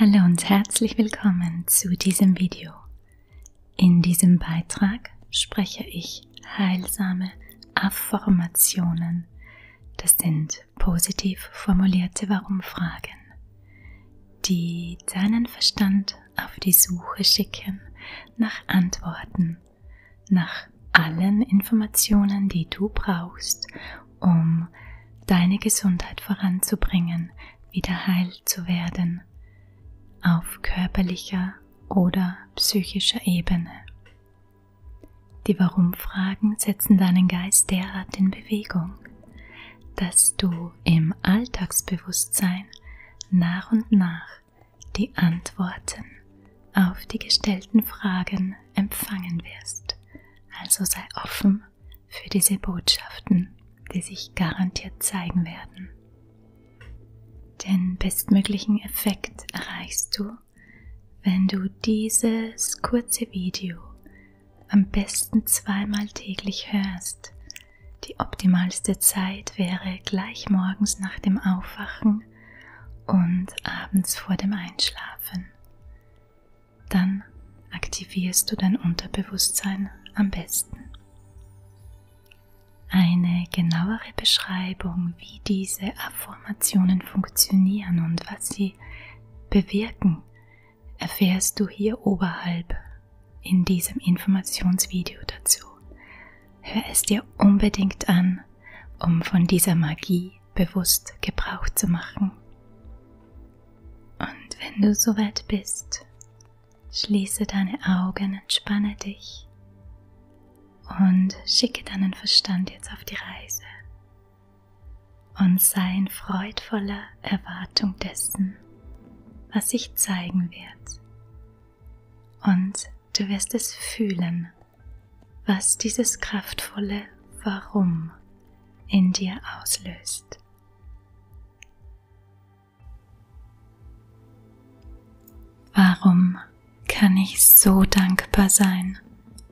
Hallo und herzlich willkommen zu diesem Video. In diesem Beitrag spreche ich heilsame Affirmationen. Das sind positiv formulierte Warum-Fragen, die deinen Verstand auf die Suche schicken nach Antworten, nach allen Informationen, die du brauchst, um deine Gesundheit voranzubringen, wieder heil zu werden, auf körperlicher oder psychischer Ebene. Die Warum-Fragen setzen deinen Geist derart in Bewegung, dass du im Alltagsbewusstsein nach und nach die Antworten auf die gestellten Fragen empfangen wirst. Also sei offen für diese Botschaften, die sich garantiert zeigen werden. Den bestmöglichen Effekt erreichst du, wenn du dieses kurze Video am besten zweimal täglich hörst. Die optimalste Zeit wäre gleich morgens nach dem Aufwachen Morgen und abends vor dem Einschlafen. Dann aktivierst du dein Unterbewusstsein am besten. Eine genauere Beschreibung, wie diese Affirmationen funktionieren und was sie bewirken, erfährst du hier oberhalb in diesem Informationsvideo dazu. Hör es dir unbedingt an, um von dieser Magie Energie bewusst Gebrauch zu machen. Und wenn du soweit bist, schließe deine Augen, entspanne dich und schicke deinen Verstand jetzt auf die Reise und sei in freudvoller Erwartung dessen, was sich zeigen wird. Und du wirst es fühlen, was dieses kraftvolle Warum in dir auslöst. Warum kann ich so dankbar sein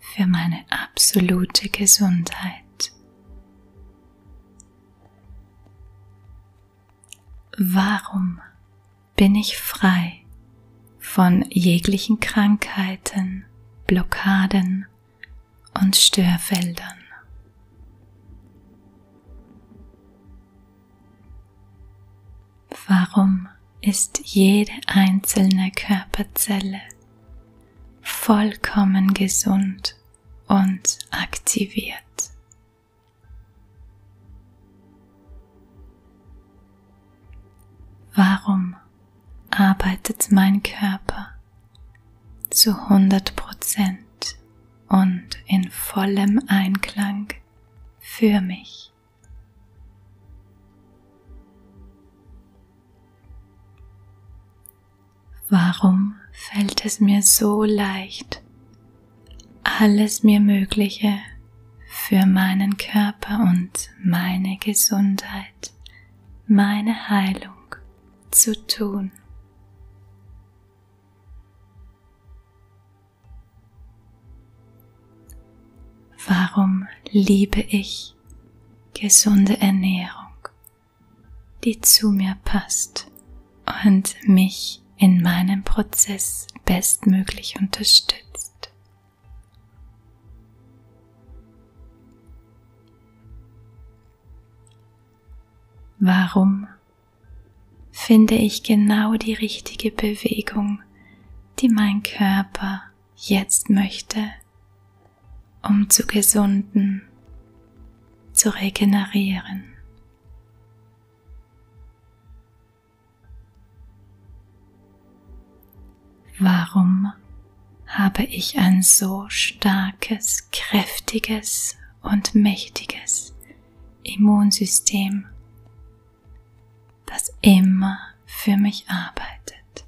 für meine absolute Gesundheit? Warum bin ich frei von jeglichen Krankheiten, Blockaden und Störfeldern. Warum ist jede einzelne Körperzelle vollkommen gesund und aktiviert? Warum arbeitet mein Körper zu 100% und in vollem Einklang für mich? Warum fällt es mir so leicht, alles mir Mögliche für meinen Körper und meine Gesundheit, meine Heilung zu tun. Warum liebe ich gesunde Ernährung, die zu mir passt und mich in meinem Prozess bestmöglich unterstützt? Warum finde ich genau die richtige Bewegung, die mein Körper jetzt möchte, um zu gesunden, zu regenerieren? Warum habe ich ein so starkes, kräftiges und mächtiges Immunsystem, das immer für mich arbeitet?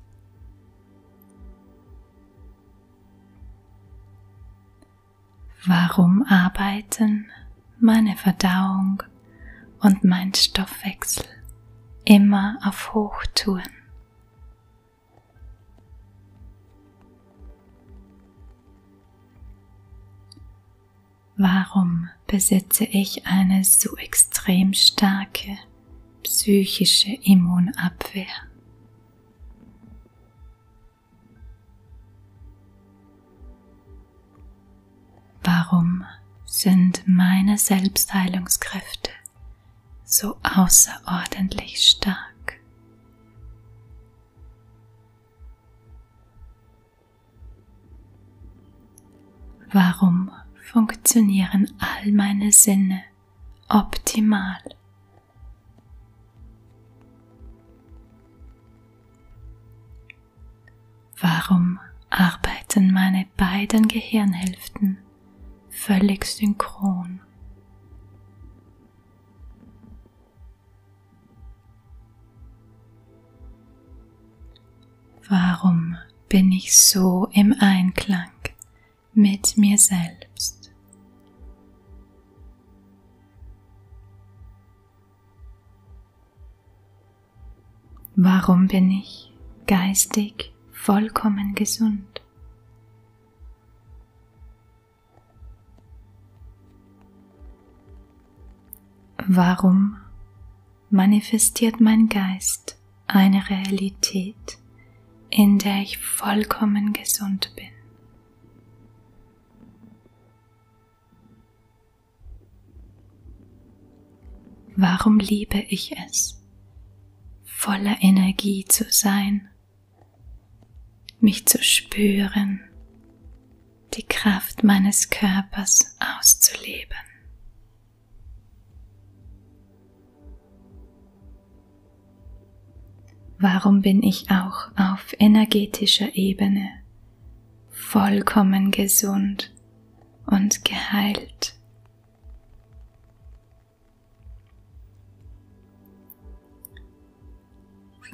Warum arbeiten meine Verdauung und mein Stoffwechsel immer auf Hochtouren. Warum besitze ich eine so extrem starke psychische Immunabwehr? Warum sind meine Selbstheilungskräfte so außerordentlich stark? Warum funktionieren all meine Sinne optimal? Warum arbeiten meine beiden Gehirnhälften völlig synchron? Warum bin ich so im Einklang mit mir selbst? Warum bin ich geistig vollkommen gesund? Warum manifestiert mein Geist eine Realität, in der ich vollkommen gesund bin? Warum liebe ich es, voller Energie zu sein, mich zu spüren, die Kraft meines Körpers auszuleben? Warum bin ich auch auf energetischer Ebene vollkommen gesund und geheilt.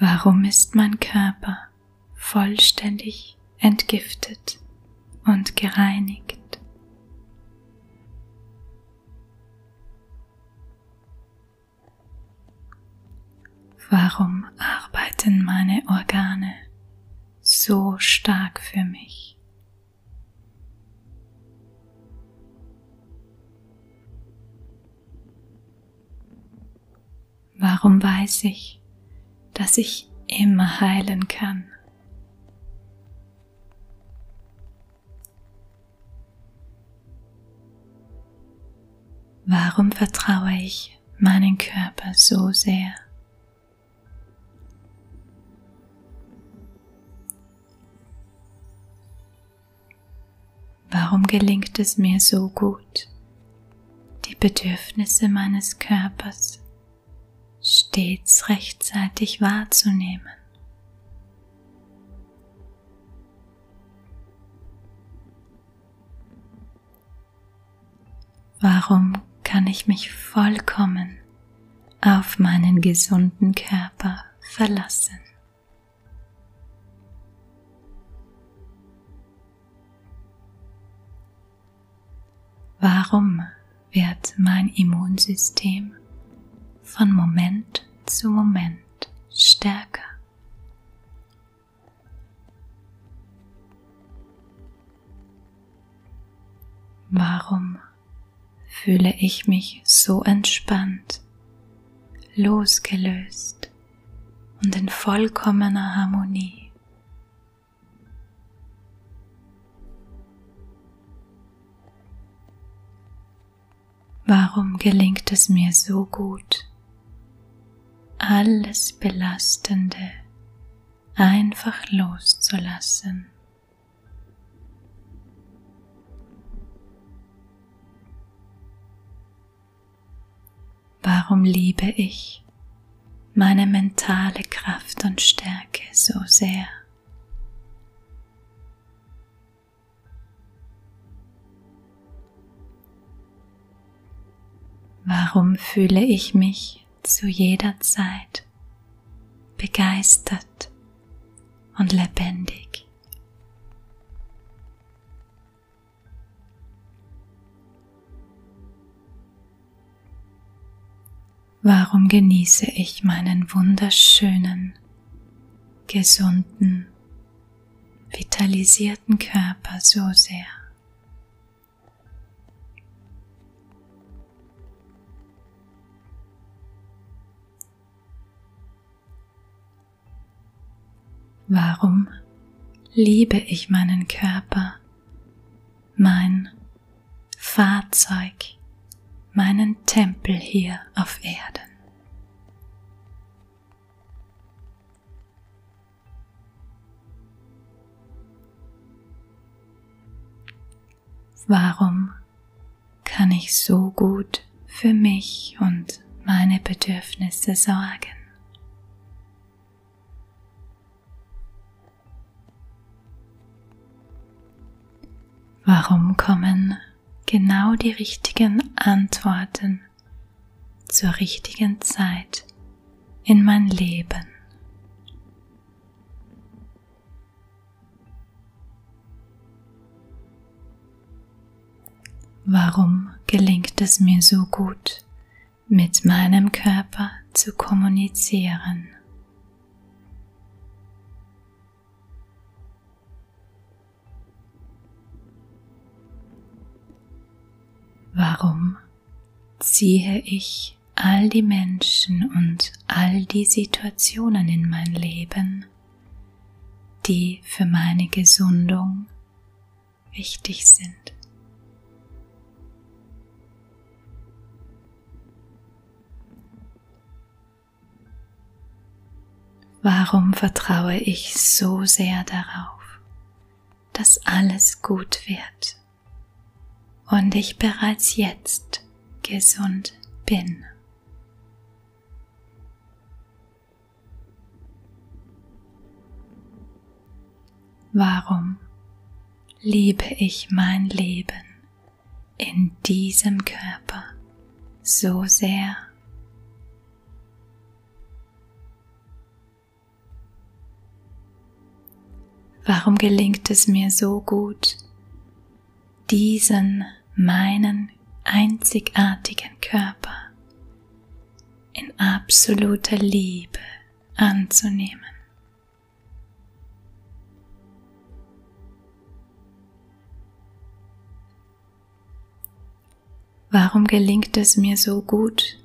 Warum ist mein Körper vollständig entgiftet und gereinigt? Warum arbeiten meine Organe so stark für mich? Warum weiß ich, dass ich immer heilen kann? Warum vertraue ich meinen Körper so sehr? Warum gelingt es mir so gut, die Bedürfnisse meines Körpers stets rechtzeitig wahrzunehmen? Warum kann ich mich vollkommen auf meinen gesunden Körper verlassen? Warum wird mein Immunsystem von Moment zu Moment stärker Warum fühle ich mich so entspannt, losgelöst und in vollkommener Harmonie? Warum gelingt es mir so gut, alles Belastende einfach loszulassen. Warum liebe ich meine mentale Kraft und Stärke so sehr? Warum fühle ich mich zu jeder Zeit begeistert und lebendig? Warum genieße ich meinen wunderschönen, gesunden vitalisierten Körper so sehr. Warum liebe ich meinen Körper, mein Fahrzeug, meinen Tempel hier auf Erden? Warum kann ich so gut für mich und meine Bedürfnisse sorgen? Warum kommen genau die richtigen Antworten zur richtigen Zeit in mein Leben. Warum gelingt es mir so gut, mit meinem Körper zu kommunizieren? Warum ziehe ich all die Menschen und all die Situationen in mein Leben, die für meine Gesundung wichtig sind? Warum vertraue ich so sehr darauf, dass alles gut wird und ich bereits jetzt gesund bin? Warum liebe ich mein Leben in diesem Körper so sehr? Warum gelingt es mir so gut, diesen meinen einzigartigen Körper in absoluter Liebe anzunehmen? Warum gelingt es mir so gut,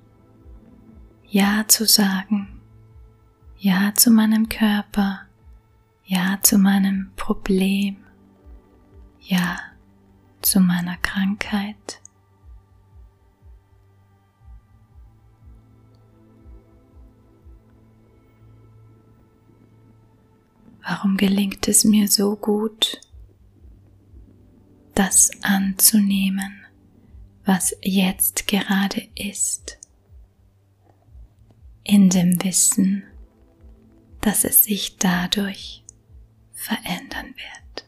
Ja zu sagen, Ja zu meinem Körper, Ja zu meinem Problem, Ja zu meiner Krankheit? Warum gelingt es mir so gut, das anzunehmen, was jetzt gerade ist, in dem Wissen, dass es sich dadurch verändern wird.